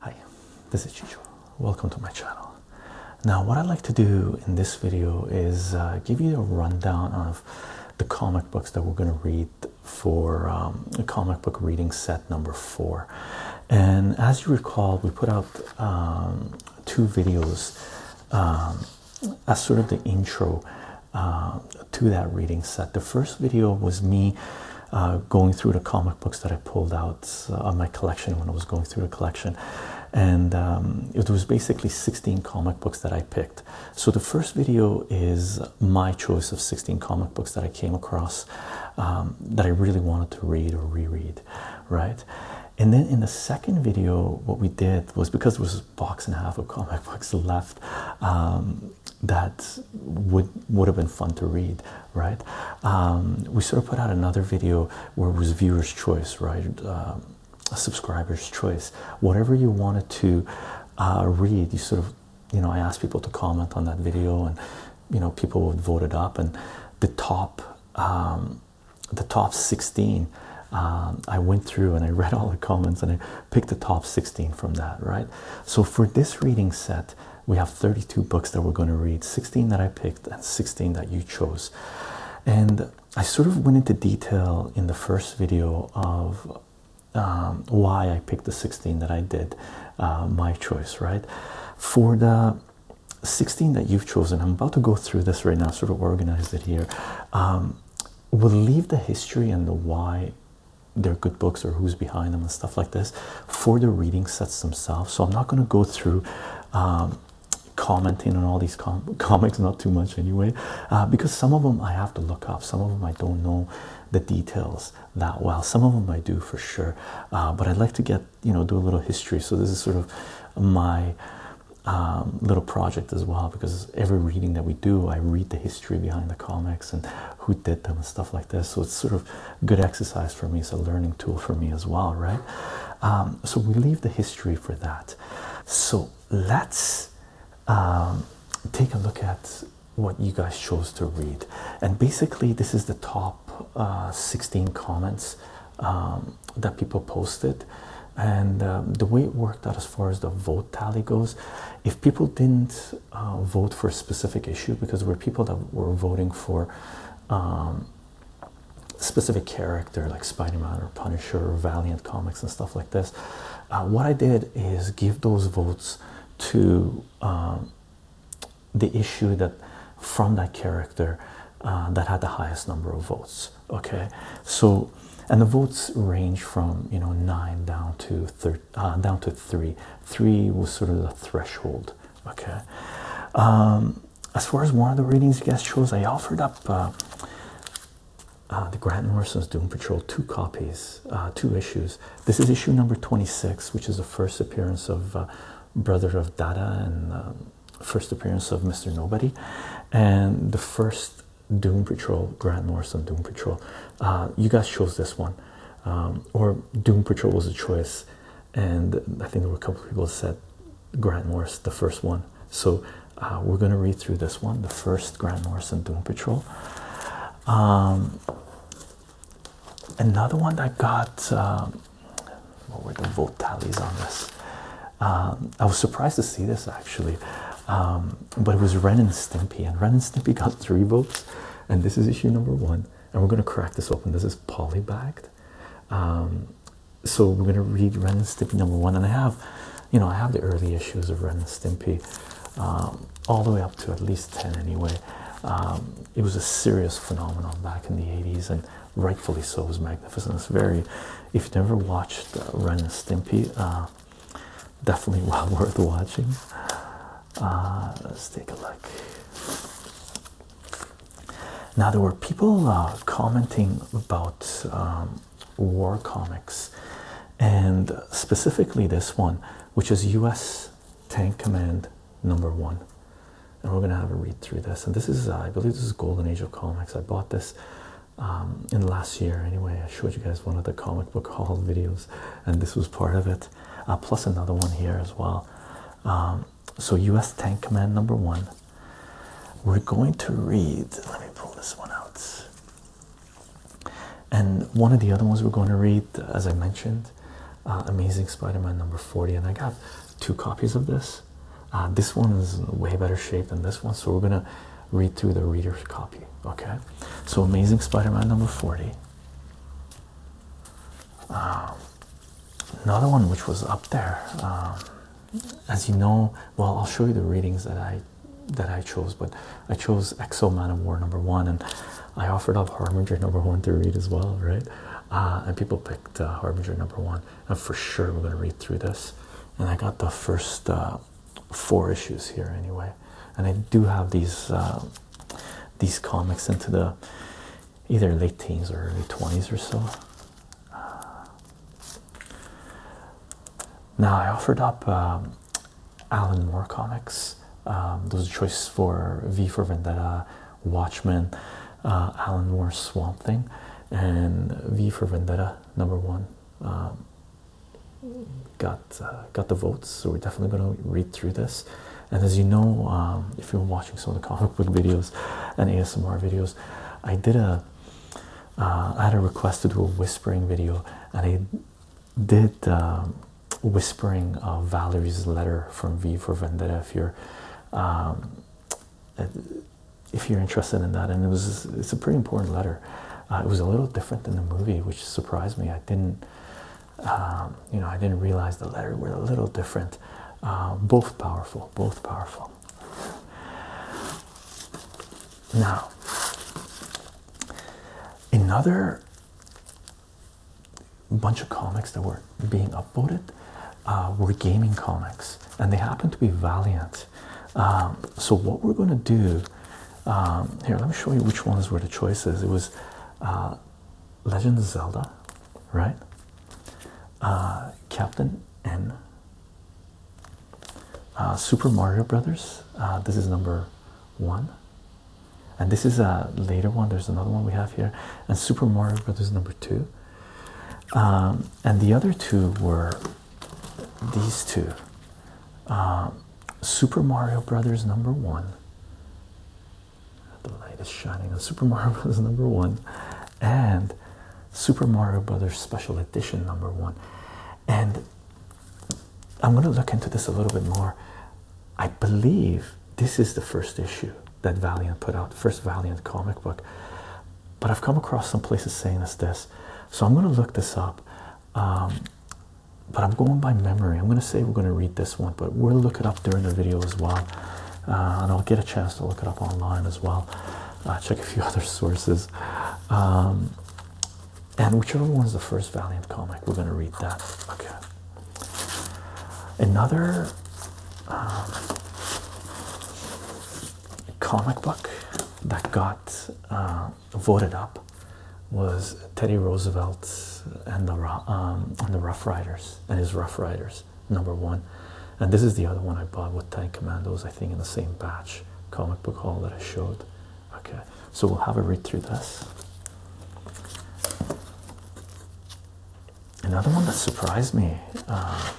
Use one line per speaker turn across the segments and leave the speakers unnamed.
Hi, this is Chicho. Welcome to my channel. Now what I'd like to do in this video is uh, give you a rundown of the comic books that we're going to read for um, comic book reading set number four. And as you recall, we put out um, two videos um, as sort of the intro uh, to that reading set. The first video was me uh, going through the comic books that I pulled out uh, of my collection when I was going through the collection, and um, it was basically 16 comic books that I picked. So the first video is my choice of 16 comic books that I came across um, that I really wanted to read or reread, right? And then in the second video, what we did was because it was box and a half of comic books left um, that would would have been fun to read, right? Um, we sort of put out another video where it was viewers' choice, right? Um, subscriber's choice. Whatever you wanted to uh, read, you sort of, you know, I asked people to comment on that video, and you know, people would vote it up, and the top the top 16 um, I went through and I read all the comments and I picked the top 16 from that, right? So for this reading set, we have 32 books that we're going to read 16 that I picked and 16 that you chose. And I sort of went into detail in the first video of um, why I picked the 16 that I did, uh, my choice, right? For the 16 that you've chosen, I'm about to go through this right now, sort of organize it here. Um, we'll leave the history and the why they're good books or who's behind them and stuff like this for the reading sets themselves. So I'm not going to go through um, commenting on all these comics, not too much anyway, uh, because some of them I have to look up. Some of them I don't know the details that well. Some of them I do for sure, uh, but I'd like to get you know do a little history. So this is sort of my um, little project as well because every reading that we do, I read the history behind the comics and who did them and stuff like this. So it's sort of good exercise for me. It's a learning tool for me as well, right? Um, so we leave the history for that. So let's um, take a look at what you guys chose to read, and basically this is the top uh, 16 comments um, that people posted and um, the way it worked out as far as the vote tally goes if people didn't uh, vote for a specific issue because there were people that were voting for um, specific character like spider-man or punisher or valiant comics and stuff like this uh, what i did is give those votes to um, the issue that from that character uh, that had the highest number of votes Okay, so and the votes range from you know nine down to uh, down to three. Three was sort of the threshold. Okay, um, as far as one of the readings, you guys chose, I offered up. Uh, uh, the Grant Morrison's Doom Patrol, two copies, two issues. This is issue number 26, which is the first appearance of Brother of Dada and um, first appearance of Mr. Nobody and the first Doom Patrol, Grant Morrison Doom Patrol. Uh, you guys chose this one, um, or Doom Patrol was a choice, and I think there were a couple people said Grant Morrison, the first one. So uh, we're going to read through this one, the first Grant Morrison Doom Patrol. Um, another one that got, um, what were the vote tallies on this? Um, I was surprised to see this actually, um, but it was Ren and Stimpy, and Ren and Stimpy got three votes, and this is issue number one. And we're gonna crack this open. This is polybagged, um, so we're gonna read Ren and Stimpy number one. And I have, you know, I have the early issues of Ren and Stimpy, all the way up to at least ten anyway. it was a serious phenomenon back in the 80s, and rightfully so is magnificent it's very if you've never watched uh, ren and stimpy uh, definitely well worth watching uh, let's take a look now there were people uh, commenting about um, war comics and specifically this one which is us tank command number one and we're going to have a read through this and this is uh, i believe this is golden age of comics i bought this um, in last year anyway. I showed you guys one of the comic book haul videos, and this was part of it, uh, plus another one here as well. Um, so, US Tank Command number one. We're going to read, let me pull this one out. And one of the other ones we're going to read, as I mentioned, uh, Amazing Spider Man number 40. And I got two copies of this. Uh, this one is way better shape than this one, so we're gonna read through the reader's copy. Okay, so Amazing Spider-Man number forty. Um, another one which was up there, um, as you know. Well, I'll show you the readings that I that I chose, but I chose Exo Man of War number one, and I offered up Harbinger number one to read as well, right? Uh, and people picked uh, Harbinger number one, and for sure we're gonna read through this and I got the first uh, four issues here anyway. And I do have these uh, these comics into the either late teens or early twenties or so. Now I offered up um, Alan Moore comics. Um, those choices for V for Vendetta, Watchmen, uh, Alan Moore's Swamp Thing, and V for Vendetta number one um, got uh, got the votes. So we're definitely going to read through this. And as you know, um, if you're watching some of the comic book videos and ASMR videos, I did a uh, I had a request to do a whispering video, and I did um, whispering of Valerie's letter from V for Vendetta. If you're if you're interested in that. And it was it's a pretty important letter. Uh, it was a little different than the movie, which surprised me. I didn't, um, you know, I didn't realize the letter were a little different. Uh, both powerful, both powerful. Now, another bunch of comics that were being upvoted uh, were gaming comics, and they happened to be Valiant. Um, so what we're going to do um, here, let me show you which ones were the choices. It was uh, Legend of Zelda, right? Uh, Captain N. Super Mario Brothers. this is number one, and this is a later one. There's another one we have here, and Super Mario Brothers number two, um, and the other two were these two um, Super Mario Brothers number one. The light is shining on Super Mario Brothers number one, and Super Mario Brothers Special Edition number one. And I'm going to look into this a little bit more. I believe this is the first issue that Valiant put out, first Valiant comic book. But I've come across some places saying it's this, so I'm going to look this up. Um, but I'm going by memory. I'm going to say we're going to read this one, but we'll look it up during the video as well, uh, and I'll get a chance to look it up online as well. Uh, check a few other sources, um, and whichever one is the first Valiant comic, we're going to read that. Okay. Another. Um, comic book that got uh, voted up was Teddy Roosevelt and the um, and the Rough Riders and his Rough Riders number one, and this is the other one I bought with Tank Commandos I think in the same batch comic book haul that I showed. Okay, so we'll have a read through this another one that surprised me uh,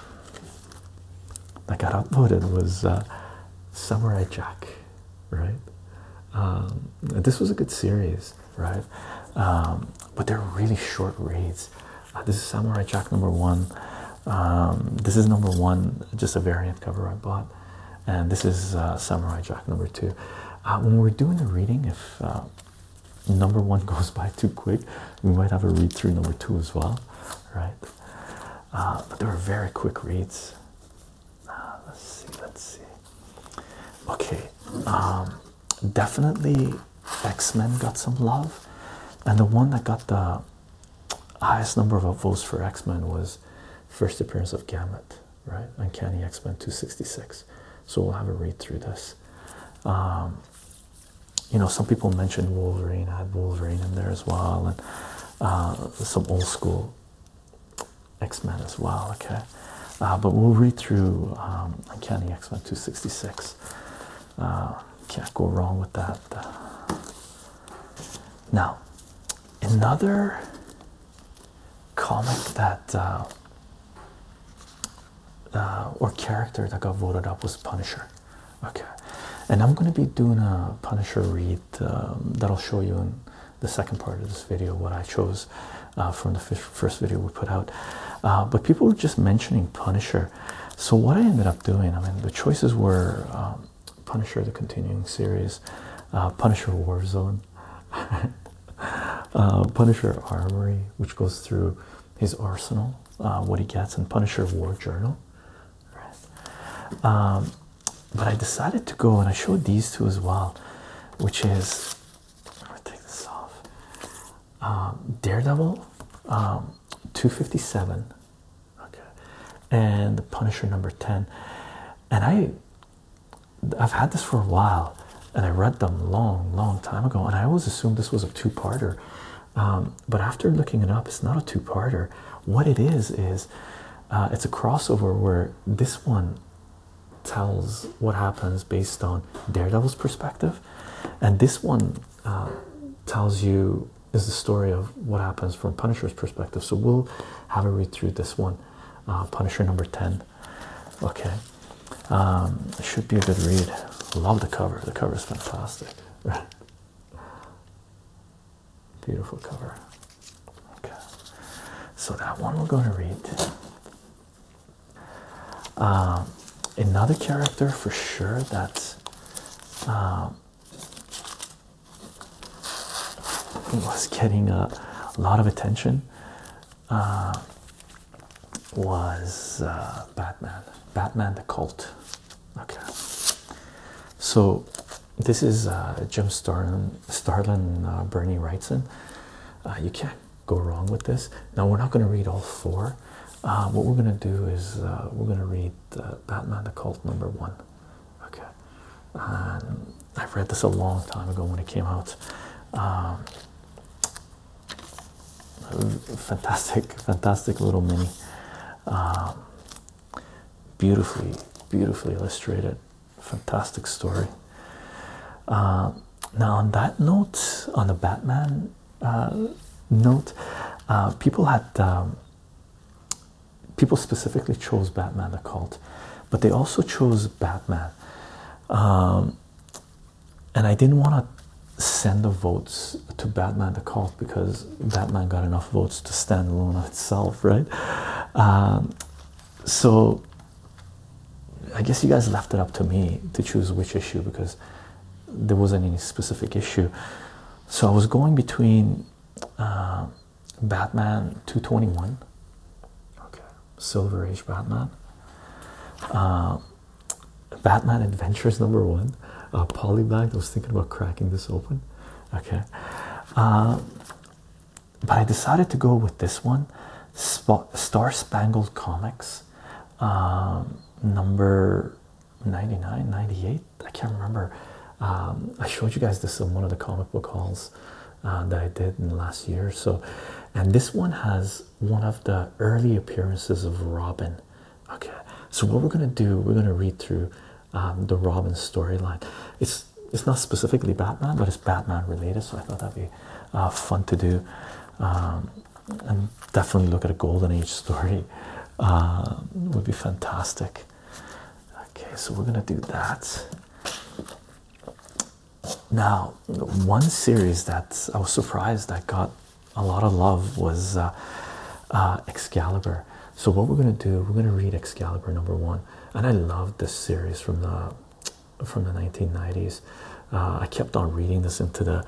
that got uploaded was uh, Samurai Jack, right? Um, this was a good series, right? Um, but they're really short reads. Uh, this is Samurai Jack number one. Um, this is number one, just a variant cover I bought, and this is Samurai Jack number two. when we're doing the reading, if number one goes by too quick. We might have a read through number two as well, right? Uh, but they were very quick reads. Uh, let's see, let's see. Okay, um, definitely X Men got some love, and the one that got the highest number of votes for X Men was first appearance of Gamut, right? Uncanny X Men 266. So we'll have a read through this. Um, you know, some people mentioned Wolverine. I had Wolverine in there as well, and uh, some old school X Men as well. Okay, uh, but we'll read through um, Uncanny X Men two sixty six. Uh, can't go wrong with that. Now, another comic that uh, or character that got voted up was Punisher. Okay, and I'm going to be doing a Punisher read um, that I'll show you in the second part of this video what I chose uh, from the first video we put out. Uh, but people were just mentioning Punisher, so what I ended up doing, I mean, the choices were um, Punisher, the continuing series, Punisher Warzone. Uh, Punisher Armory, which goes through his arsenal uh, what he gets in Punisher War Journal. Right. Um, but I decided to go and I showed these two as well, which is I'm gonna take this off. Um, Daredevil um, 257, okay, and the Punisher number 10. And I I've had this for a while and I read them long, long time ago, and I always assumed this was a two-parter. Um, but after looking it up, it's not a two-parter. What it is is uh, it's a crossover where this one tells what happens based on Daredevil's perspective, and this one uh, tells you is the story of what happens from Punisher's perspective. So we'll have a read through this one, uh, Punisher number ten. Okay, um, should be a good read. Love the cover. The cover is fantastic. Beautiful cover. Okay, so that one we're going to read. Um, another character for sure that um, was getting a lot of attention uh, was uh, Batman, Batman the Cult. Okay, so this is uh, Jim Starlin, Starlin uh, Bernie Wrightson. you can't go wrong with this. Now, we're not going to read all four. what we're going to do is we're going to read Batman the Cult number one. Okay, I've read this a long time ago when it came out. Um, fantastic fantastic little mini um, beautifully beautifully illustrated fantastic story um, now on that note on the batman uh, note uh, people had um, people specifically chose batman the cult but they also chose batman and I didn't want to send the votes to Batman the Cult because Batman got enough votes to stand alone on itself, right? Um, so I guess you guys left it up to me to choose which issue because there wasn't any specific issue. So I was going between uh, Batman 221, okay, Silver Age Batman, uh, Batman Adventures number one. Uh, Polybag. I was thinking about cracking this open. Okay. Uh, but I decided to go with this one. Star Spangled Comics. Um, number 99, 98. I can't remember. Um, I showed you guys this in one of the comic book halls uh, that I did in the last year so. And this one has one of the early appearances of Robin. Okay, so what we're gonna do, we're gonna read through um, the Robin storyline. It's it's not specifically Batman, but it's Batman related. So I thought that'd be uh, fun to do, um, and definitely look at a Golden Age story. Um, would be fantastic. Okay, so we're gonna do that. Now, one series that I was surprised that got a lot of love was uh, uh, Excalibur. So, what we're gonna do, we're gonna read Excalibur number one, and I loved this series from the from the 1990s. Uh, I kept on reading this into the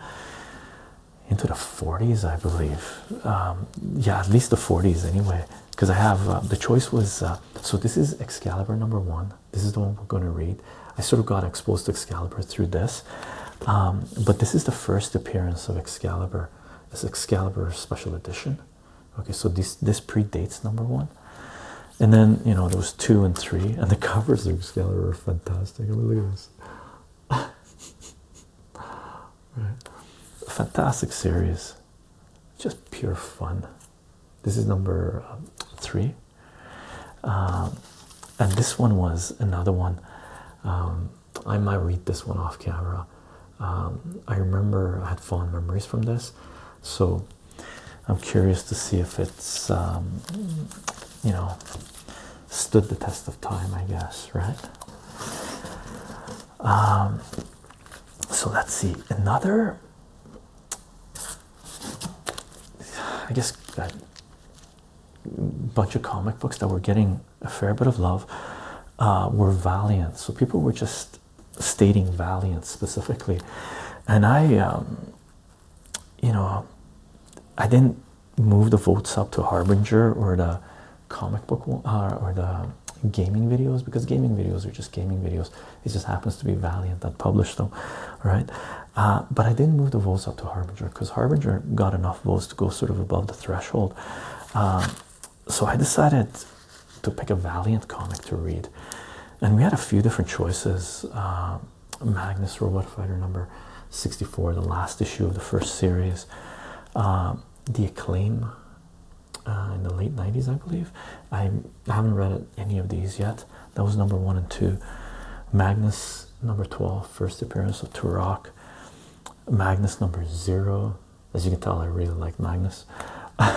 into the 40s, I believe. Um, yeah, at least the 40s anyway, because I have the choice was so this is Excalibur number one. This is the one we're going to read. I sort of got exposed to Excalibur through this, um, but this is the first appearance of Excalibur. This Excalibur special edition. Okay, so this this predates number one, and then you know there was two and three, and the covers of Excalibur are fantastic. Look at this. right. Fantastic series, just pure fun. This is number uh, three. Um, and this one was another one. Um, I might read this one off camera. Um, I remember I had fond memories from this, so I'm curious to see if it's you know stood the test of time. I guess right. so let's see another I guess a bunch of comic books that were getting a fair bit of love uh, were Valiant. So people were just stating Valiant specifically, and I, um, you know, I didn't move the votes up to Harbinger or the comic book uh, or the gaming videos because gaming videos are just gaming videos. It just happens to be Valiant that published them, right? Uh, but I didn't move the votes up to Harbinger because Harbinger got enough votes to go sort of above the threshold. Um, so I decided to pick a Valiant comic to read, and we had a few different choices. Um, Magnus Robot Fighter number 64, the last issue of the first series, um, The Acclaim uh, in the late 90s, I believe. I'm, i have not read any of these yet. That was number one and two. Magnus number 12, first appearance of Turok. Magnus number zero. As you can tell, I really like Magnus.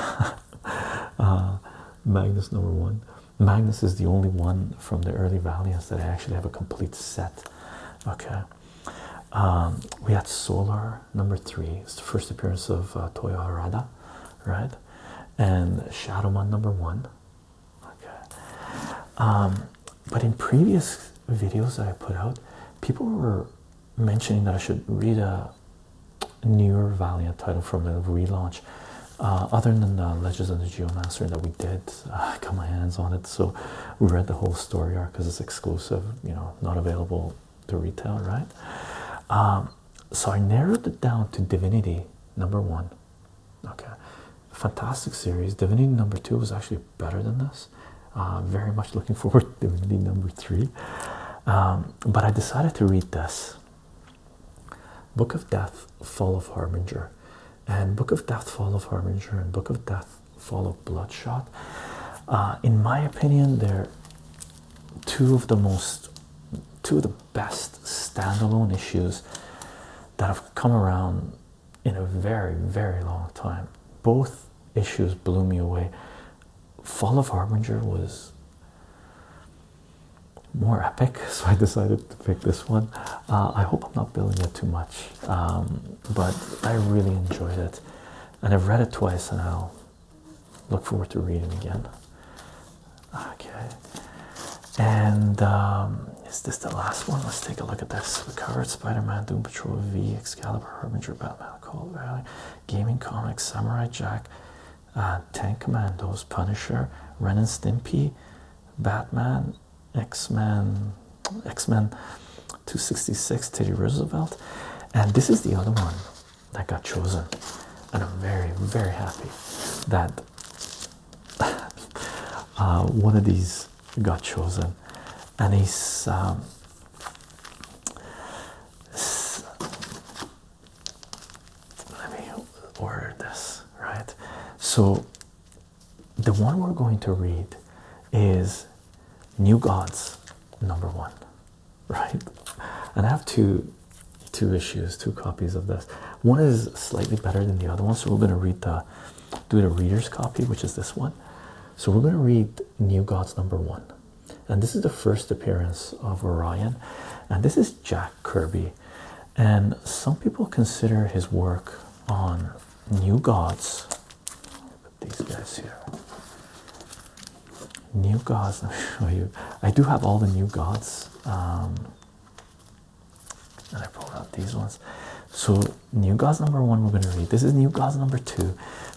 Uh, Magnus number one. Magnus is the only one from the early Valiants that I actually have a complete set. Okay. Um, we had Solar number three. It's the first appearance of uh, Toyo Harada, right? And Shadowman number one okay um, but in previous videos that I put out people were mentioning that I should read a newer Valiant title from the relaunch uh, other than the Legends of the Geomancer that we did uh, I got my hands on it so we read the whole story arc because it's exclusive you know not available to retail right um, so I narrowed it down to Divinity number one Okay, fantastic series. Divinity number two was actually better than this. Uh, very much looking forward to Divinity number three. Um, but I decided to read this Book of Death, Fall of Harbinger, and Book of Death, Fall of Harbinger, and Book of Death, Fall of Bloodshot. Uh, in my opinion, they're two of the most, two of the best standalone issues that have come around in a very, very long time. Both issues blew me away. Fall of Harbinger was more epic, so I decided to pick this one. Uh, I hope I'm not building it too much, um, but I really enjoyed it, and I've read it twice, and I'll look forward to reading again okay and um, is this the last one let's take a look at this we covered spider-man doom patrol v excalibur harbinger batman call valley gaming comics samurai jack uh, tank commandos punisher ren and stimpy batman x-men x-men 266 teddy roosevelt and this is the other one that got chosen and i'm very very happy that Uh, one of these got chosen, and he's um, let me order this right. So, the one we're going to read is New Gods number one, right? And I have to two issues, two copies of this. One is slightly better than the other one, so we're going to read the do the reader's copy, which is this one. So we're going to read New Gods number one, and this is the first appearance of Orion, and this is Jack Kirby, and some people consider his work on New Gods. Put these guys here. New Gods. I'll show you. I do have all the New Gods. Um, and I pulled out these ones. So, New Gods number one, we're going to read. This is New Gods number two,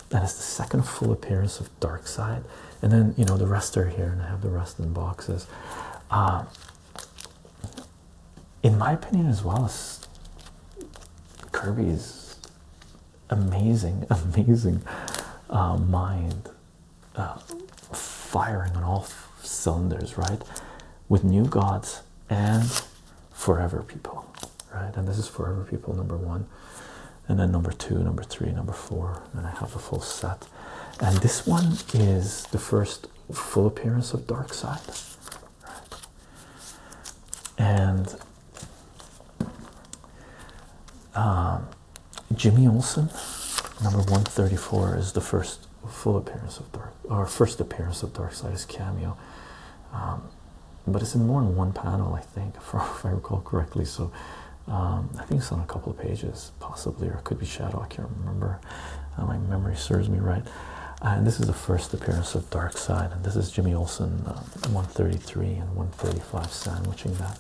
That is the second full appearance of Dark Side. And then, you know, the rest are here, and I have the rest in boxes. Uh, in my opinion, as well as Kirby's amazing, amazing uh, mind uh, firing on all cylinders, right? With New Gods and Forever People, right? And this is Forever People number one, and then number two, number three, number four, and I have a full set. And this one is the first full appearance of Dark Side, right? and um, Jimmy Olsen, number 134, is the first full appearance of Dark, or first appearance of Darkseid's cameo. Um, but it's in more than one panel, I think, if I recall correctly. So um, I think it's on a couple of pages, possibly, or it could be Shadow. I can't remember. Uh, my memory serves me right. Uh, and this is the first appearance of Darkseid, and this is Jimmy Olsen, uh, 133 and 135, sandwiching that.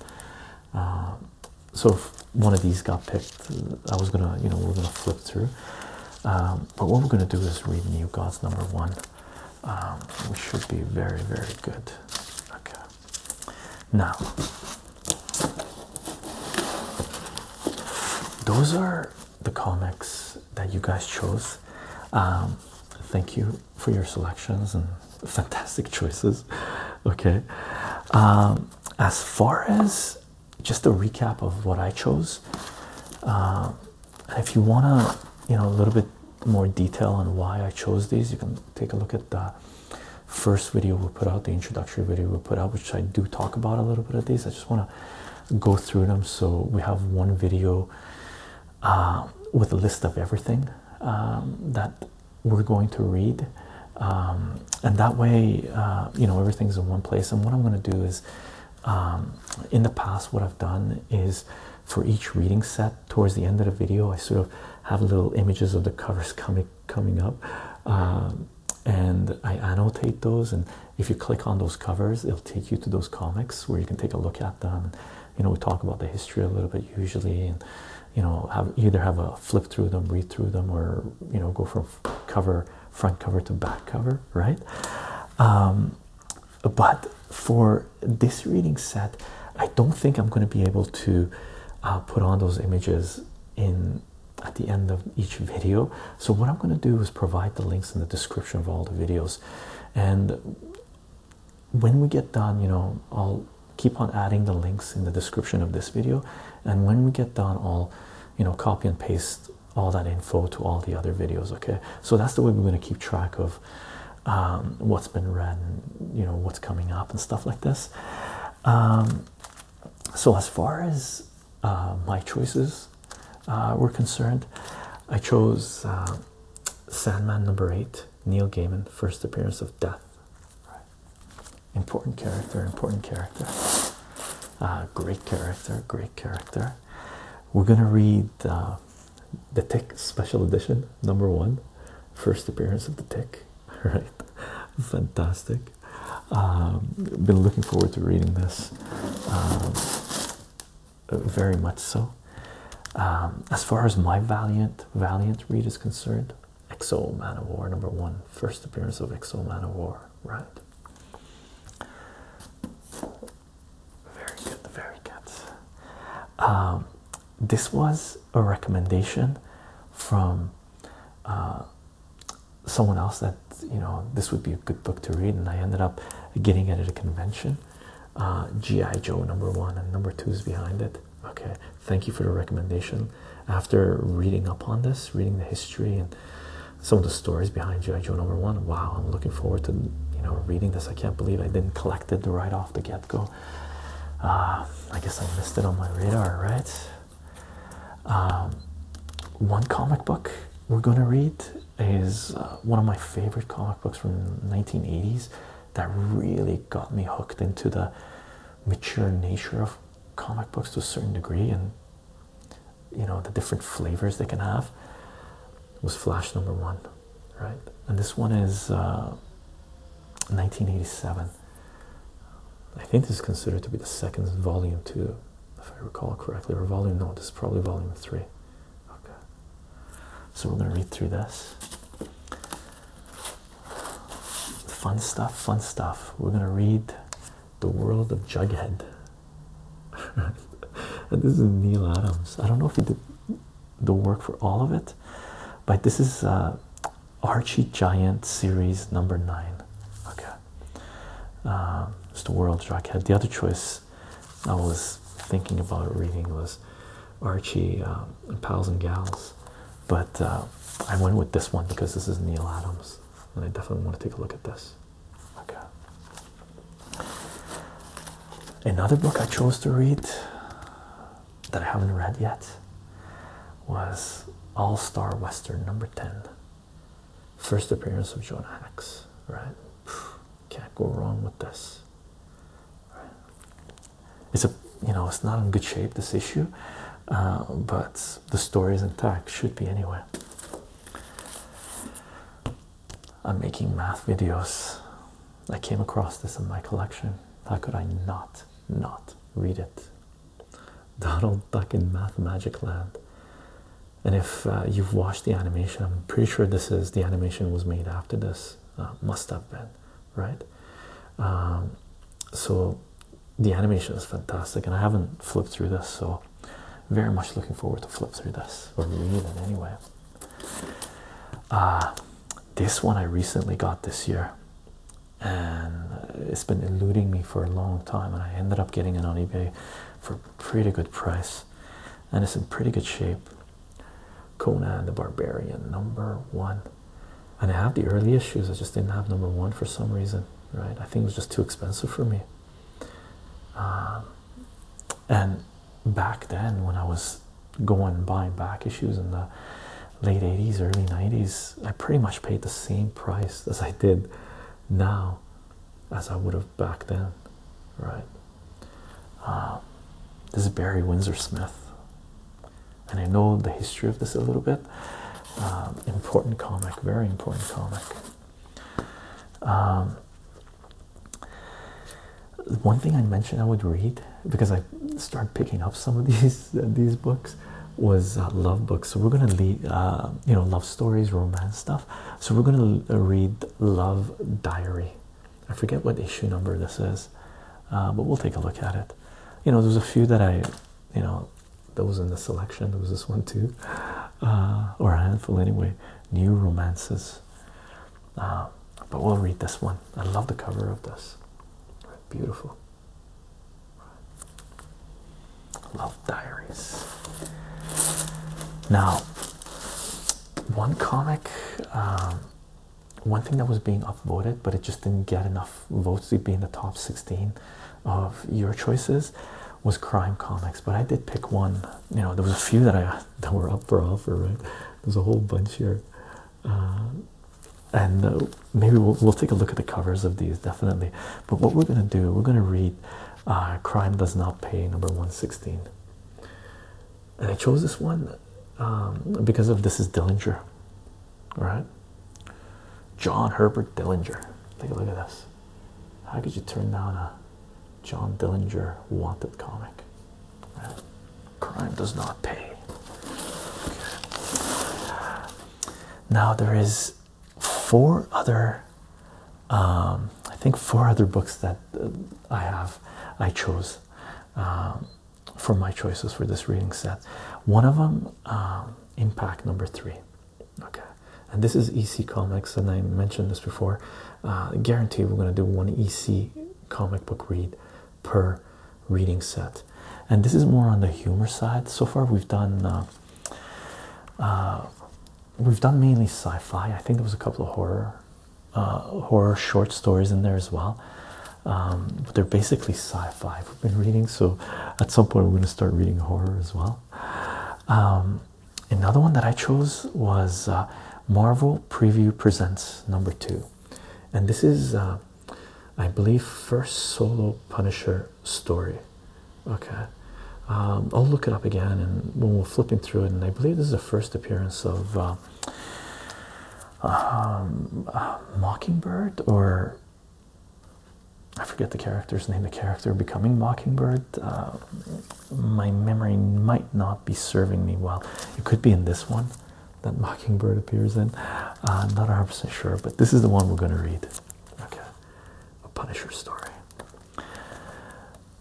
Um, so if one of these got picked, I was gonna, you know, we're gonna flip through. Um, but what we're gonna do is read New Gods number one, um, which should be very, very good. Okay. Now, those are the comics that you guys chose. Um, thank you for your selections and fantastic choices. Okay as far as just a recap of what I chose, uh, if you wanna, you know, a little bit more detail on why I chose these, you can take a look at the first video we put out, the introductory video we put out, which I do talk about a little bit of these. I just wanna go through them. So we have one video uh, with a list of everything um, that we're going to read um, and that way uh, you know everything's in one place and what i'm going to do is um, in the past what i've done is for each reading set towards the end of the video i sort of have little images of the covers coming coming up um, and i annotate those and if you click on those covers it'll take you to those comics where you can take a look at them you know we talk about the history a little bit usually and you know have either have a flip through them read through them or you know go from cover front cover to back cover right um, but for this reading set i don't think i'm going to be able to uh, put on those images in at the end of each video so what i'm going to do is provide the links in the description of all the videos and when we get done you know i'll keep on adding the links in the description of this video and when we get done I'll, you know copy and paste all that info to all the other videos okay so that's the way we're going to keep track of um, what's been read and you know what's coming up and stuff like this um, so as far as uh, my choices uh, were concerned I chose uh, Sandman number eight Neil Gaiman first appearance of death important character, important character, uh, great character, great character. We're gonna read uh, the Tick Special Edition number one, first appearance of the Tick. All right, fantastic. Um, been looking forward to reading this, um, very much so. Um, as far as my valiant, valiant read is concerned, Exo Man of War number one, first appearance of Exo Man of War, right? Very good, very good. Um, this was a recommendation from uh, someone else that you know this would be a good book to read, and I ended up getting it at a convention. Uh, G.I. Joe number one and number two is behind it. Okay, thank you for the recommendation. After reading up on this, reading the history and some of the stories behind G.I. Joe number one, wow, I'm looking forward to you know reading this. I can't believe I didn't collect it right off the get-go. Uh, I guess I missed it on my radar, right? Um, one comic book we're gonna read is uh, one of my favorite comic books from the 1980s that really got me hooked into the mature nature of comic books to a certain degree and you know the different flavors they can have was flash number one right and this one is uh, 1987 i think this is considered to be the second volume two if i recall correctly or volume no this is probably volume three okay so we're going to read through this Fun stuff, fun stuff. We're gonna read The World of Jughead. and this is Neil Adams. I don't know if he did the work for all of it, but this is uh, Archie Giant series number nine. Okay. Uh, the world Jughead. The other choice I was thinking about reading was Archie uh, and pals and gals, but uh, I went with this one because this is Neil Adams, and I definitely want to take a look at this. Okay. Another book I chose to read that I haven't read yet was All Star Western number 10. First appearance of Jonah Hex, right? Can't go wrong with this. It's a you know it's not in good shape this issue, uh, but the story is intact. Should be anywhere. I'm making math videos. I came across this in my collection. How could I not not read it? Donald Duck in Math Magic Land. And if uh, you've watched the animation, I'm pretty sure this is the animation was made after this. Uh, must have been right? Um, so the animation is fantastic, and I haven't flipped through this, so very much looking forward to flip through this or read it anyway. Uh, this one I recently got this year, and it's been eluding me for a long time, and I ended up getting it on eBay for a pretty good price, and it's in pretty good shape. Conan the Barbarian, number one. And I have the early issues, I just didn't have number one for some reason, right? I think it was just too expensive for me. Um, and back then, when I was going buying back issues in the late 80s, early 90s, I pretty much paid the same price as I did now as I would have back then, right? Um, this is Barry Windsor Smith and I know the history of this a little bit. Um, important comic, very important comic. Um, one thing I mentioned I would read because I started picking up some of these these books was uh, love books. So we're gonna read, uh, you know, love stories, romance stuff. So we're gonna read Love Diary I forget what issue number this is, uh, but we'll take a look at it. You know, there's a few that I, you know, those in the selection. There was this one too, uh, or a handful anyway. New romances, uh, but we'll read this one. I love the cover of this. Beautiful. Love diaries. Now, one comic um, one thing that was being upvoted, but it just didn't get enough votes to be in the top 16 of your choices was crime comics. But I did pick one. You know, there was a few that I that were up for offer, right? There's a whole bunch here. Uh, and uh, maybe we'll, we'll take a look at the covers of these definitely. But what we're gonna do, we're gonna read uh, Crime Does Not Pay, number 116 and I chose this one um, because of this is Dillinger, right? John Herbert Dillinger. Take a look at this. How could you turn down a John Dillinger wanted comic? Crime does not pay. Now there is four other, um, I think four other books that uh, I have. I chose. Um, for my choices for this reading set. One of them, um, Impact number three. Okay, and this is EC Comics, and I mentioned this before. Uh, guarantee we're going to do one EC comic book read per reading set, and this is more on the humor side. So far, we've done. Uh, uh, we've done mainly sci-fi. I think there was a couple of horror uh, horror short stories in there as well. Um, but they're basically sci-fi. We've been reading, so at some point we're going to start reading horror as well. Um, another one that I chose was uh, Marvel Preview Presents Number Two, and this is, uh, I believe, first solo Punisher story. Okay, um, I'll look it up again, and we will flipping through it, and I believe this is the first appearance of um, uh, Mockingbird or I forget the character's name, the character becoming Mockingbird. Uh, my memory might not be serving me well. It could be in this one that Mockingbird appears in. Uh, not 100% sure, but this is the one we're going to read. Okay. A Punisher story.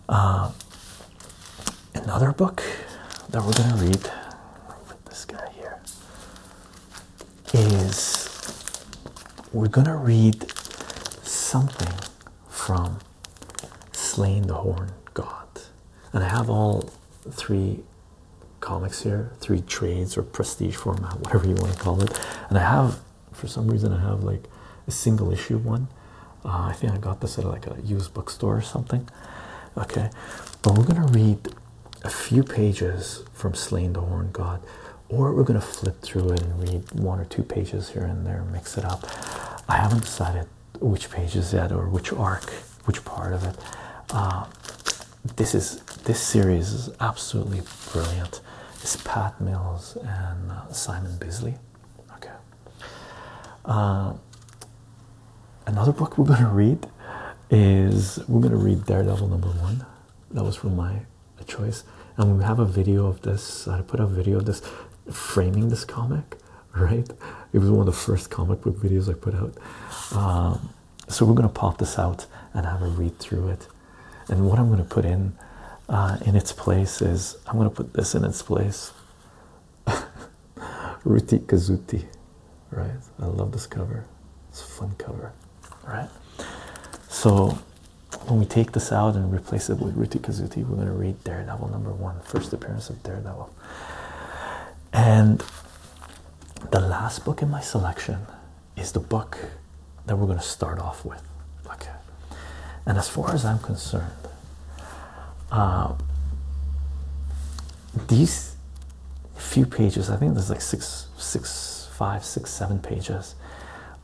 Uh, another book that we're going to read with this guy here is we're going to read something from Slain the Horn God. And I have all three comics here, three trades or prestige format, whatever you want to call it. And I have, for some reason, I have like a single issue one uh, I think I got this at like a used bookstore or something. Okay, but we're gonna read a few pages from Slain the Horn God, or we're gonna flip through it and read one or two pages here and there, mix it up. I haven't decided which pages yet or which arc, which part of it. Uh, this is this series is absolutely brilliant. It's Pat Mills and uh, Simon Bisley. Okay, uh, another book we're going to read is we're going to read Daredevil number one. That was from my choice, and we have a video of this. I put a video of this framing this comic, right? It was one of the first comic book videos I put out. Um, so we're going to pop this out and have a read through it. And what I'm going to put in uh, in its place is I'm going to put this in its place. Ruti Kazuti, right? I love this cover. It's a fun cover, right? So when we take this out and replace it with Ruti Kazuti, we're going to read Daredevil number one, first appearance of Daredevil. And the last book in my selection is the book that we're going to start off with. Okay. And as far as I'm concerned, uh, these few pages i think there's like six six five six seven pages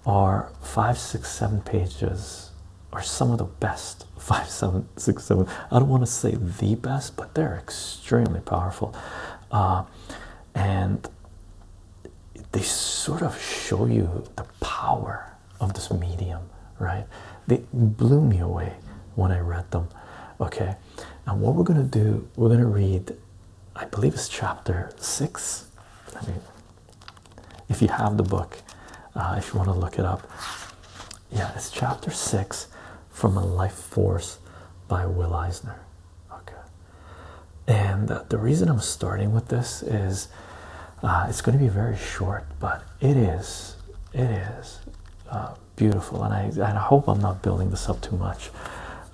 are five six seven pages are some of the best five seven six seven i don't want to say the best but they're extremely powerful uh, and they sort of show you the power of this medium, right? They blew me away when I read them. Okay, and what we're gonna do, we're gonna read, I believe it's chapter six. if you have the book, uh, if you want to look it up, yeah, it's chapter six from A Life Force by Will Eisner. Okay, and uh, the reason I'm starting with this is uh, it's going to be very short, but it is, it is uh, beautiful, and I, I hope I'm not building this up too much.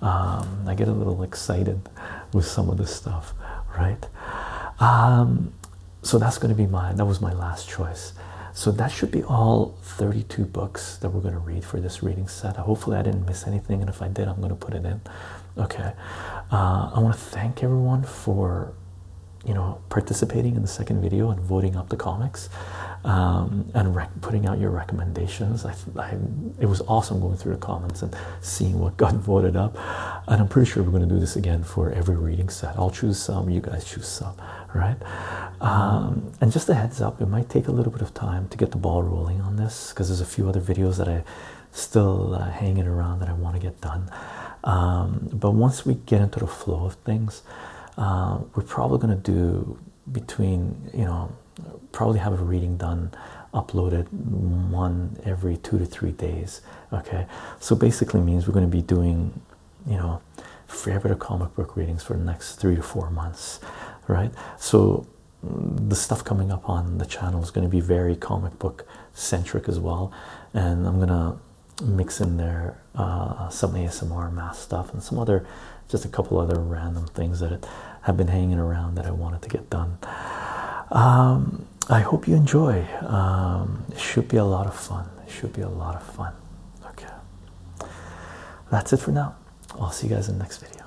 Um, I get a little excited with some of this stuff, right? Um, so that's going to be mine. That was my last choice. So that should be all 32 books that we're going to read for this reading set. Hopefully, I didn't miss anything, and if I did, I'm going to put it in. Okay. Uh, I want to thank everyone for you know participating in the second video and voting up the comics um, and putting out your recommendations I, it was awesome going through the comments and seeing what got voted up and i'm pretty sure we're going to do this again for every reading set i'll choose some you guys choose some right um, and just a heads up it might take a little bit of time to get the ball rolling on this because there's a few other videos that i still uh, hanging around that i want to get done um, but once we get into the flow of things. Uh, we're probably going to do between, you know, probably have a reading done, uploaded one every two to three days. Okay, so basically means we're going to be doing, you know, fair of comic book readings for the next three to four months, right? So the stuff coming up on the channel is going to be very comic book centric as well, and I'm gonna mix in there uh, some ASMR math stuff and some other, just a couple other random things that have been hanging around that I wanted to get done. Um, I hope you enjoy. Um, it should be a lot of fun. It should be a lot of fun. Okay. That's it for now. I'll see you guys in the next video.